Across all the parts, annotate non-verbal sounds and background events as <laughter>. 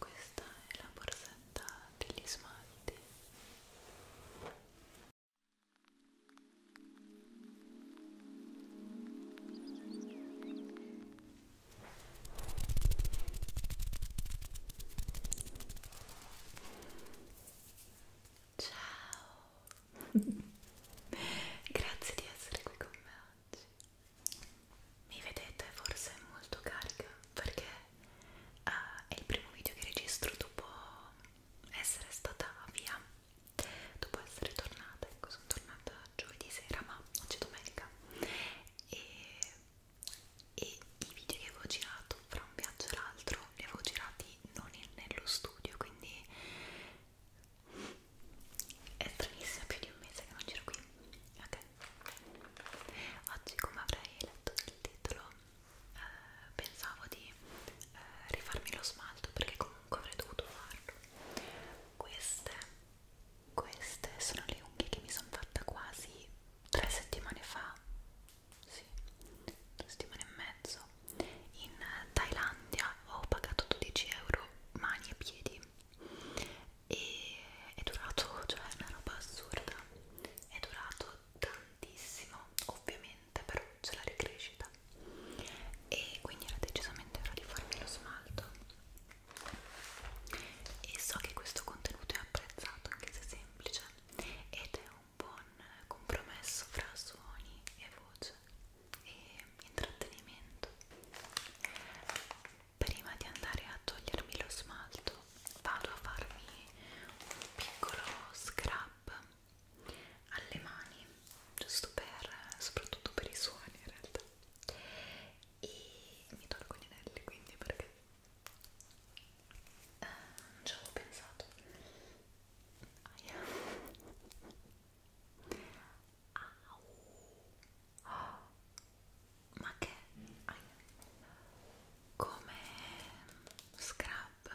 Questa è la borsetta degli smalti Ciao, <laughs> grazie di essere qui con me oggi. Mi vedete forse molto carica perché uh, è il primo video che registro dopo essere stata via dopo essere tornata, ecco sono tornata giovedì sera ma oggi è domenica e, e i video che avevo girato fra un viaggio e l'altro li avevo girati non in, nello studio quindi è stranissimo, più di un mese che non giro qui ok oggi come avrei letto il titolo eh, pensavo di eh, rifarmi lo smalto perché comunque avrei dovuto farlo queste, queste sono le unghie che mi sono fatta quasi tre settimane fa sì, due settimane e mezzo in Thailandia ho pagato 12 euro mani e piedi e è durato, cioè è una roba assurda è durato tantissimo ovviamente niente però c'è la ricrescita e quindi era decisamente ora di farmi lo smalto e so che questo contenuto è apprezzato anche se semplice ed è un buon compromesso fra suoni e voce e intrattenimento prima di andare a togliermi lo smalto vado a farmi un piccolo scrub alle mani giusto per soprattutto per i suoni in realtà e mi tolgo gli anelli quindi perché eh, non ci avevo pensato Aia. Au. Oh. ma che Aia come scrub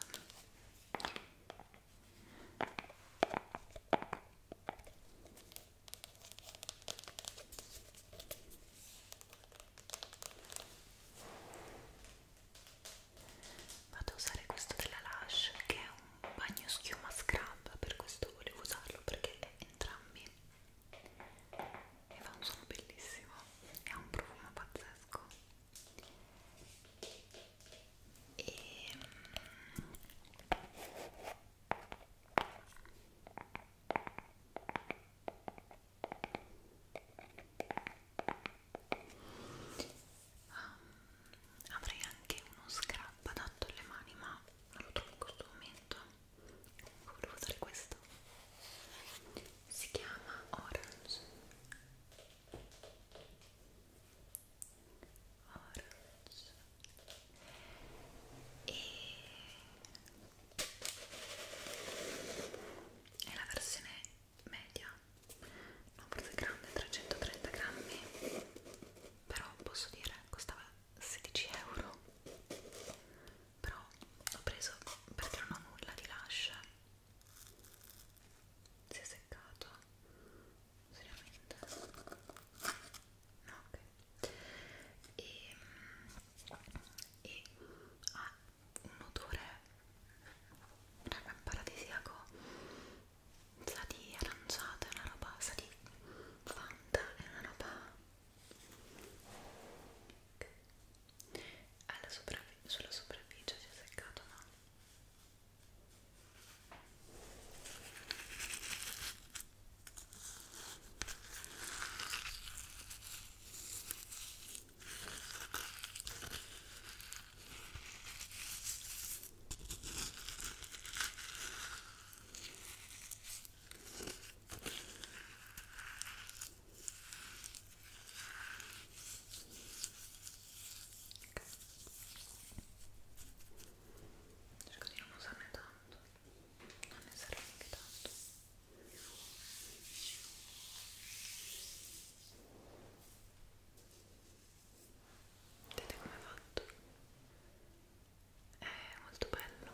vado a usare questo della Lush che è un bagno schiuma scrub per questo volevo usarlo perché è entrambi e fa un suono bellissimo e ha un profumo pazzesco e um, avrei anche uno scrub adatto alle mani ma non lo trovo in questo momento volevo usare questo si chiama Orange Orange e è la versione media non forse grande 330 grammi però posso dire costava 16 euro però l'ho preso perché non ho nulla di lascia si è seccato seriamente no ok e, e ha un odore raga paradisiaco sa di aranciata è una roba sa di fanta è una roba okay alla sopravi sulla superficie si è seccato no? cerco di non usarne tanto non ne serve neanche tanto vedete come è fatto? è molto bello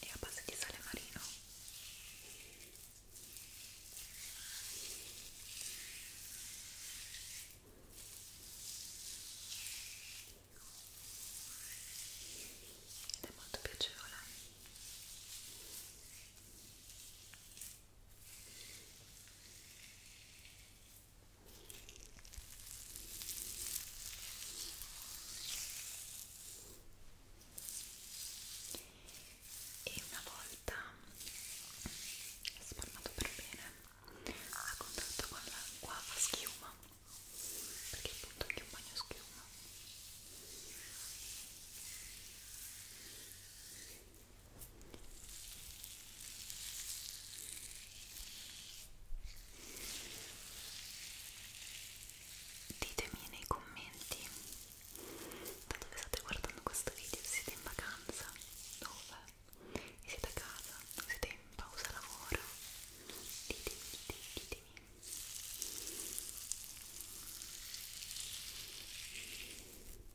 e a base di sale marino ed è molto piacevole e una volta spalmato per bene a contatto con l'acqua a schiuma perché appunto anche un bagno schiuma Ditemi nei commenti da dove state guardando questo video, se siete in vacanza, dove, e siete a casa, o siete in pausa lavoro, ditemi, ditemi, ditemi. Io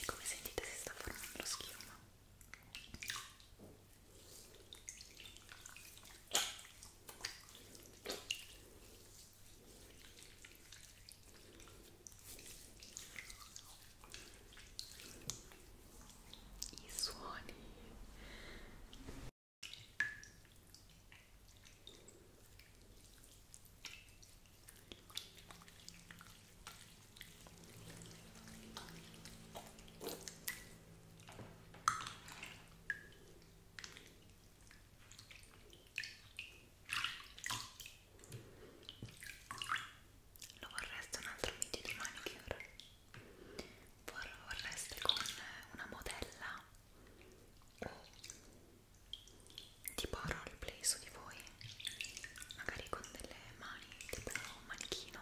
e come sentite si sta formando lo schiuma i suoni lo vorreste un altro video di manicure? Vorreste con una modella o tipo roleplay su di voi magari con delle mani tipo un manichino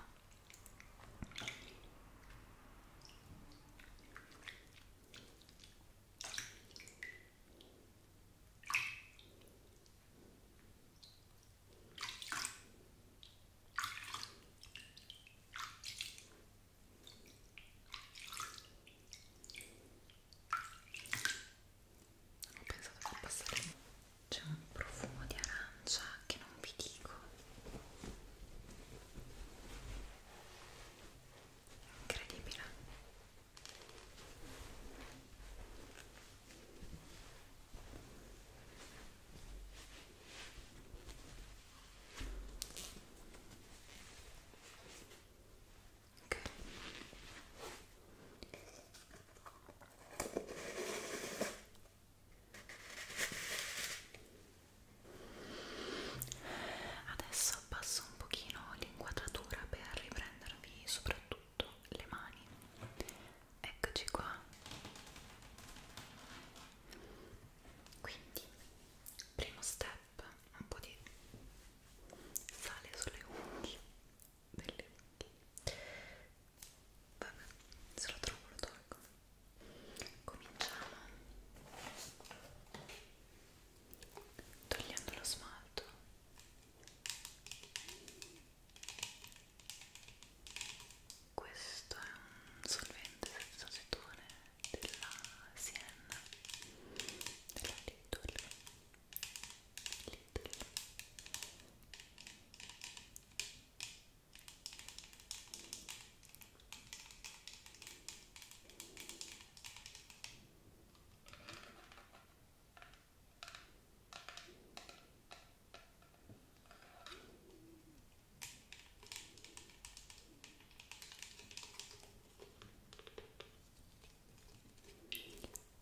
ho pensato per passare c'è un profumo di arancia che non vi dico incredibile Okay. Adesso abbasso un pochino l'inquadratura per riprendervi soprattutto le mani. Eccoci qua. Quindi, primo step scalp, un po' di sale sulle unghie delle unghie vabbè, se lo trovo lo tolgo cominciamo togliendo lo smalto questo è un solvente senza acetone della Sienna della Lidl Lidl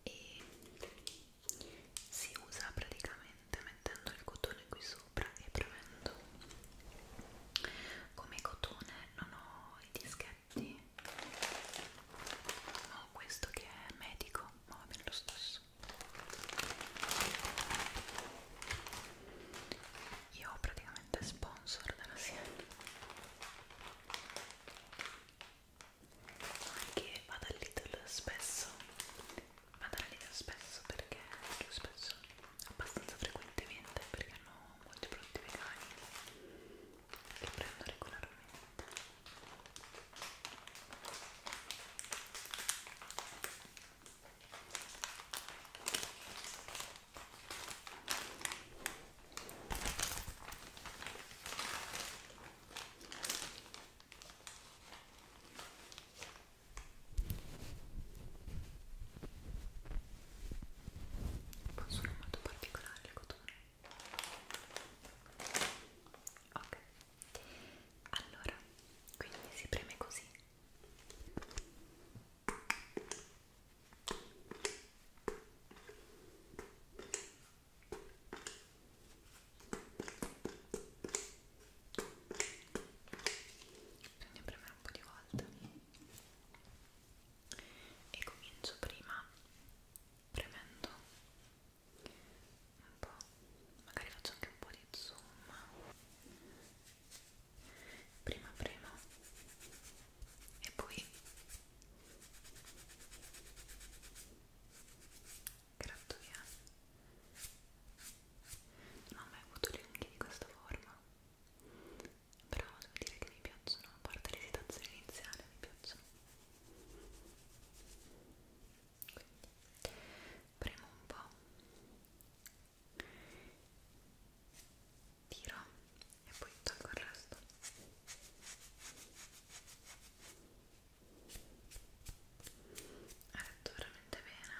e si usa praticamente mettendo il cotone qui sopra e premendo come cotone non ho i dischetti ho questo che è medico ma va bene lo stesso io praticamente spongo sponsor della serie anche vado al Lidl spesso vado al Lidl spesso perché più spesso abbastanza frequentemente perché hanno molti prodotti vegani che prendo regolarmente sono molto particolare le cotone ok allora quindi si preme così bisogna premere un po' di volte e comincio prima premendo un po' magari faccio anche un po' di zoom prima prima e poi gratto via non ho mai avuto le unghie di questa forma però devo dire che mi piacciono a parte l'esitazione iniziale mi piacciono quindi premo un po' tiro e poi tolgo il resto ha fatto veramente bene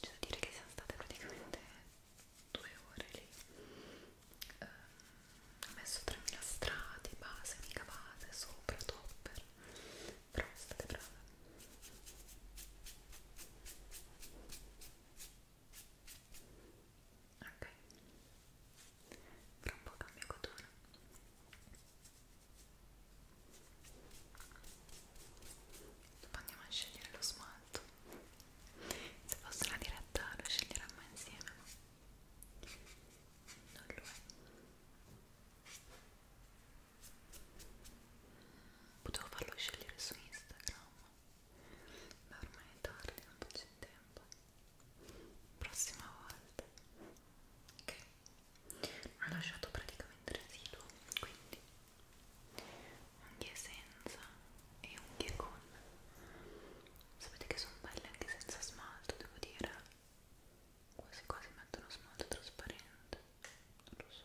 c'è da dire che siamo state praticamente due ore lì eh, ho messo 3000 strati base, mica base, sopra, topper però state brave ok tra un po' cambio cotone dopo andiamo a scegliere lo smalto se fosse una diretta lo sceglieremmo insieme non lo è potevo farlo scegliere su Instagram ma ormai è tardi, non c'è tempo prossima volta ok non ho lasciato praticamente residuo quindi unghie senza e unghie con sapete che sono belle anche senza smalto devo dire quasi quasi mettono smalto trasparente non lo so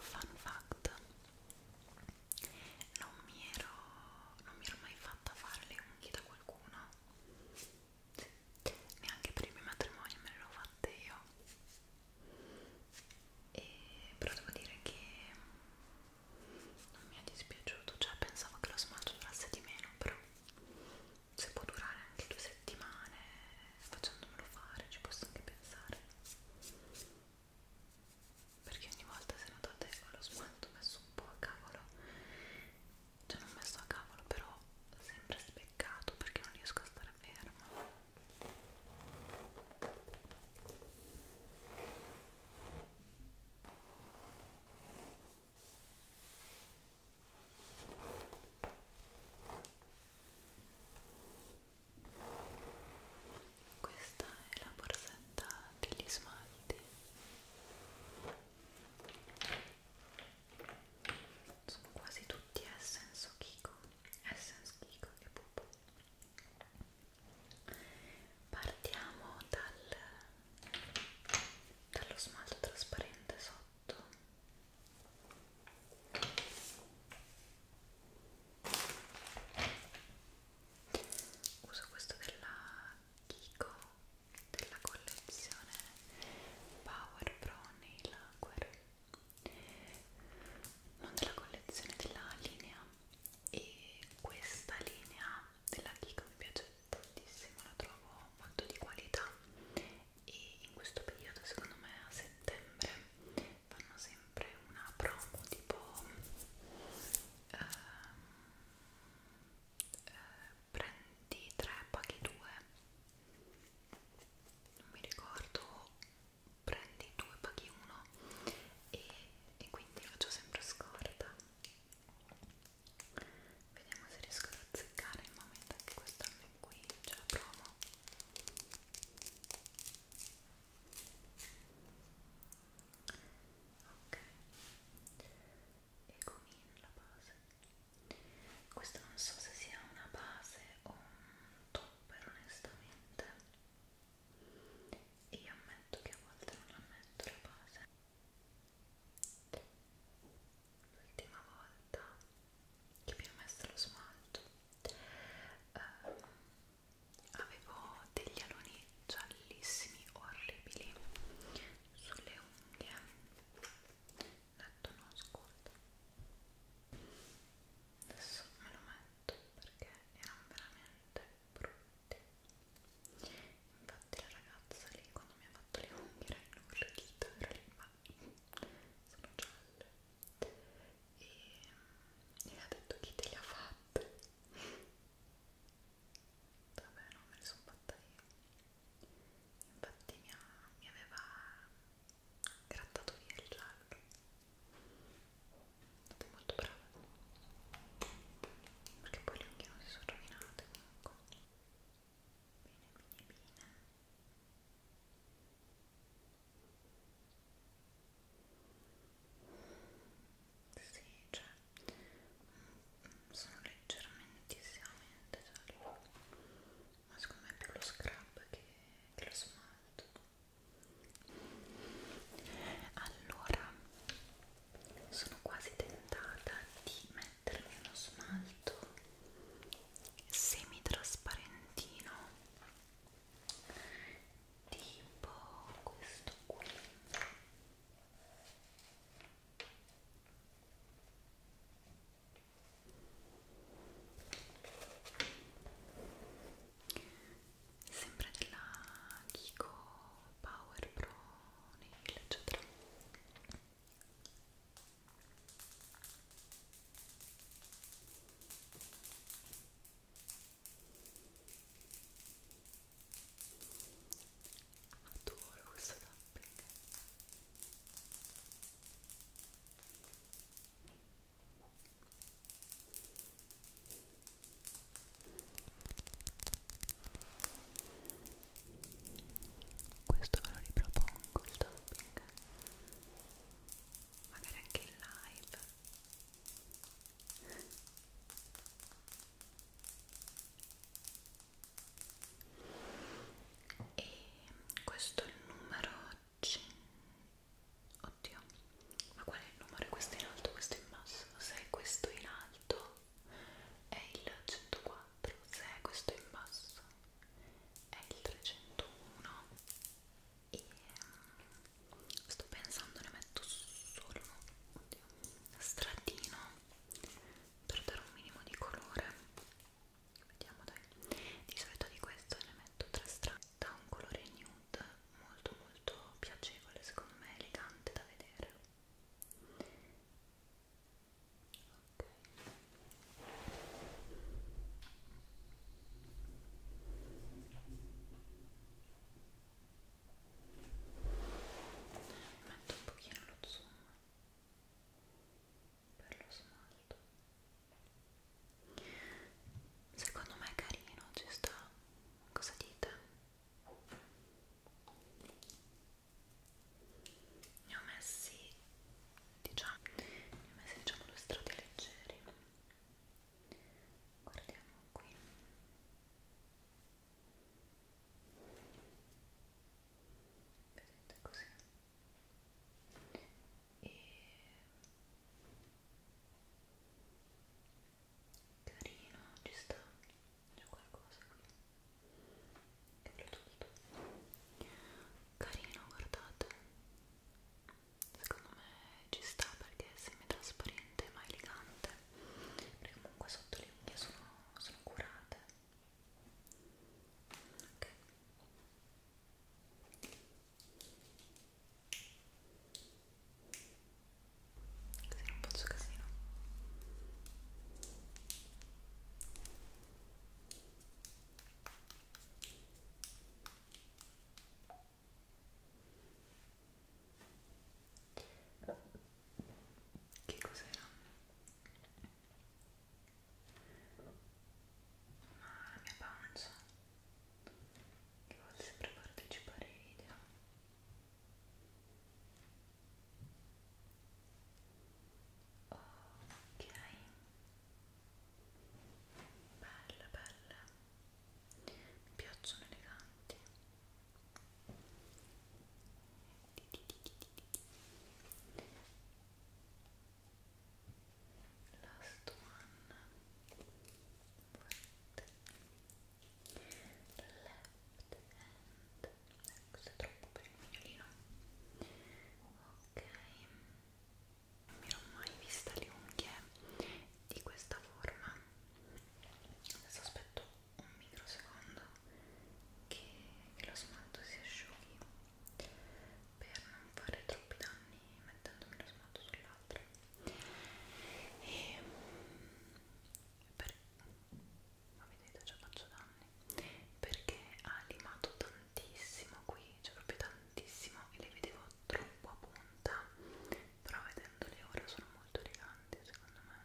Fun fact, non mi ero, non mi ero mai fatta fare le unghie da qualcuno. Sì neanche per il mio matrimonio me l'ho fatta io e, però devo dire che non mi è dispiaciuto cioè pensavo che lo smalto durasse di meno però se può durare anche due settimane facendomelo fare ci posso anche pensare perché ogni volta se notate ho lo smalto messo un po' a cavolo cioè non messo a cavolo però sempre speccato perché non riesco a stare fermo questa è la borsetta degli smalti sono quasi tutti Essence o Kiko Essence, Kiko e Pupo partiamo dal, dallo smalto trasparente sotto uso questo della Kiko della collezione Power Pro Nail Lacquer non della collezione della linea e questa linea della Kiko mi piace tantissimo la trovo molto di qualità e in questo periodo secondo me a settembre fanno sempre una promo tipo eh, eh, prendi 3 paghi 2 non mi ricordo prendi due paghi uno e, e quindi faccio sempre scorta vediamo se riesco ad azzeccare il momento anche quest'anno in cui ce la provo ok e comin la base questo non so se sia una base o un topper onestamente io ammetto che a volte non ammetto la base l'ultima volta che mi ho messo lo smalto ehm, avevo degli aloni giallissimi orribili sulle unghie netto non ascolta adesso me lo metto perché erano veramente brutti infatti la ragazza lì quando mi ha fatto le unghie era inorridita era lì ma sono gialle e mi ha detto chi te le ha fatte vabbè non me le sono fatta io infatti mi, ha, mi aveva grattato via il giallo state molto brava perché poi le unghie non si sono rovinate comunque bene bene bene sì, cioè mm, mm, sono leggermente giallo ma secondo me è più lo scrub che, che lo smalto allora sono quasi tentata di mettermi uno smalto semitrasparentino tipo questo qui sempre della Kiko Power Pro Nail eccetera adoro questo tapping questo ve lo ripropongo il topping magari anche in live e questo è il numero oddio ma qual è il numero? questo è in alto, questo è in basso se è questo in alto è il 104 se è questo in basso è il 301 e mm, sto pensando ne metto solo oddio, stratino per dare un minimo di colore vediamo dai di solito di questo ne metto tre strane da un colore nude molto molto piacevole secondo me elegante da vedere ok metto un pochino lo zoom per lo smalto secondo me è carino ci sta cosa dite? ne ho messi diciamo ne ho messi diciamo due strati leggeri guardiamo qui vedete così e carino ci sta c'è qualcosa qui che tutto carino guardate secondo me ci sta perché è semi trasparente ma elegante perché comunque sotto le unghie sono, sono curate ok così non faccio casino che cos'era? ma la mia pancia che vuole sempre partecipare ai video ok bella bella mi piacciono eleganti last one right left hand questo è troppo per il mignolino ok non mi ho mai vista le unghie di questa forma adesso aspetto un microsecondo che, che lo smalto si asciughi per non fare troppi danni mettendomi lo smalto sull'altro e per, ma vedete già faccio danni perché ha limato tantissimo qui cioè proprio tantissimo e le vedevo troppo a punta però vedendole ora sono molto eleganti secondo me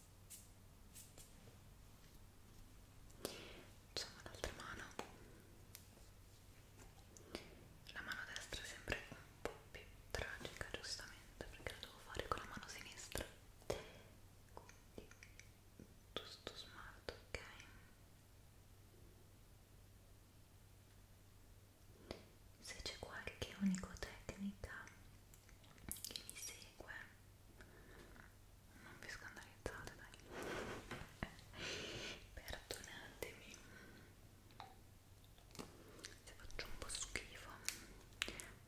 facciamo l'altra mano la mano destra sembra un po' più tragica giustamente perché la devo fare con la mano sinistra quindi giusto smalto ok se c'è qualche onicotecnica che vi segue non vi scandalizzate dai <laughs> perdonatemi se faccio un po' schifo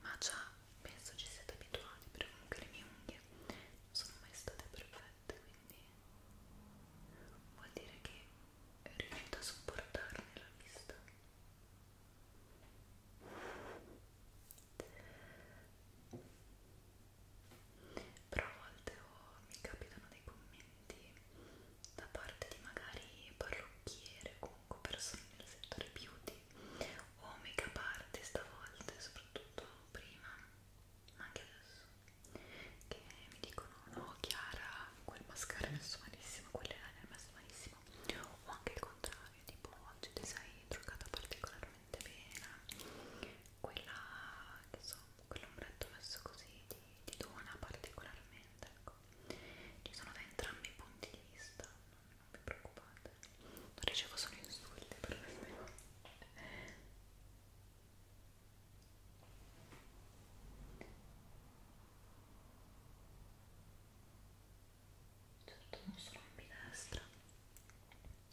ma già penso ci siete abituati perché comunque le mie unghie non sono mai state perfette quindi vuol dire che riuscite a sopportarne la vista però a volte oh, mi capitano dei commenti da parte di magari parrucchiere, comunque persone del settore beauty o make-up artist a volte, soprattutto prima, ma anche adesso, che mi dicono no Chiara, quel mascara è messo malissimo, quell'elena è messo malissimo o anche il contrario Flavio tipo oggi ti sei truccata particolarmente bene quella che so, quell'ombretto messo così ti, ti dona particolarmente ecco ci sono da entrambi i punti di vista non, non vi preoccupate non ricevo solo insulti per queste cose certo non sono ambidestra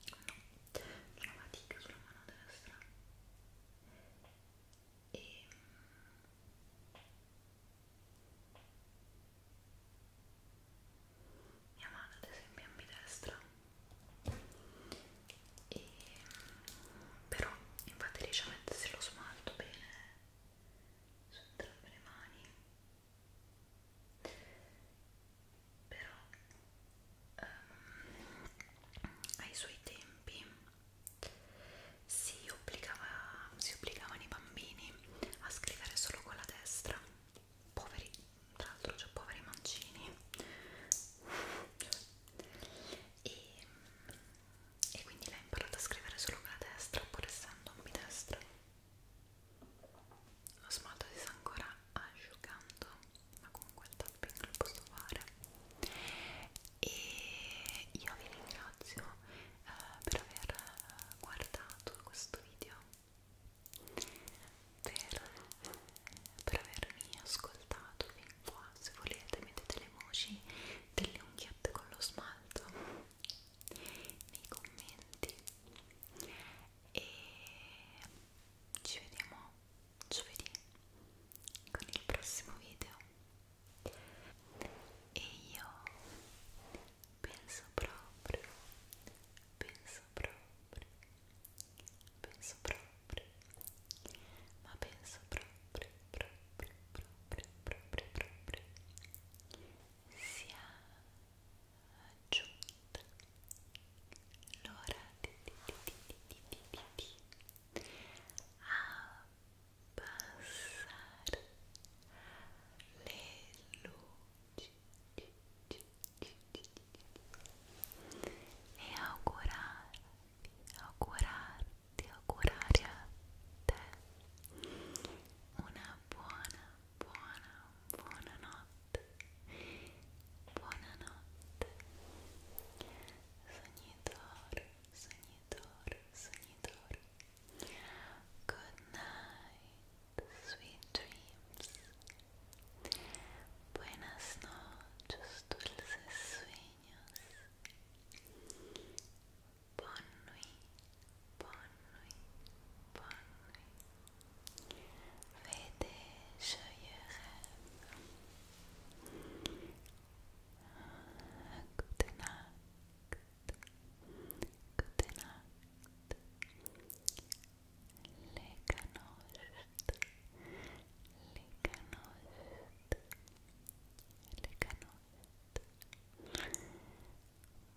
no, ho una fatica sulla mano destra e mm, mia madre ad esempio è ambidestra e mm, però infatti riesce a mettersi lo smalto bene su entrambe le mani però um, ai suoi tempi si, obbligava, si obbligavano i bambini a scrivere solo con la destra poveri, tra l'altro c'è cioè, poveri mancini e, e quindi l'ha imparata a scrivere solo con la destra pur essendo ambidestra lo smalto si sta ancora asciugando ma comunque il tapping lo posso fare e io vi ringrazio eh, per aver eh, guardato questo video per, per avermi ascoltato fin qua se volete mettete le emoji delle unghiette con lo smalto nei commenti e ci vediamo giovedì con il prossimo video e io penso proprio penso proprio penso proprio ma penso proprio proprio proprio proprio proprio sia giunta l'ora di, di, di, di, di, di, di abbassare le luci e augurarvi, augurarti, augurare a te una buona, buona, buonanotte. Buonanotte. Sognatore, sognatore, sognatore. Good night, sweet dreams. Buenas noches, dulces sueños. Bonne nuit, bonne nuit, bonne nuit. Fais des joyeux rêves. Good night. Good night. Les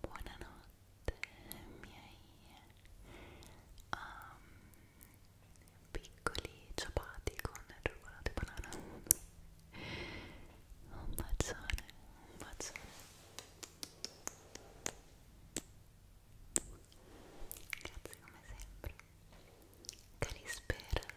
Buonanotte miei um, piccoli ciapati con cioccolato e banana. Un bacione, un bacione. Grazie come sempre. Calispera.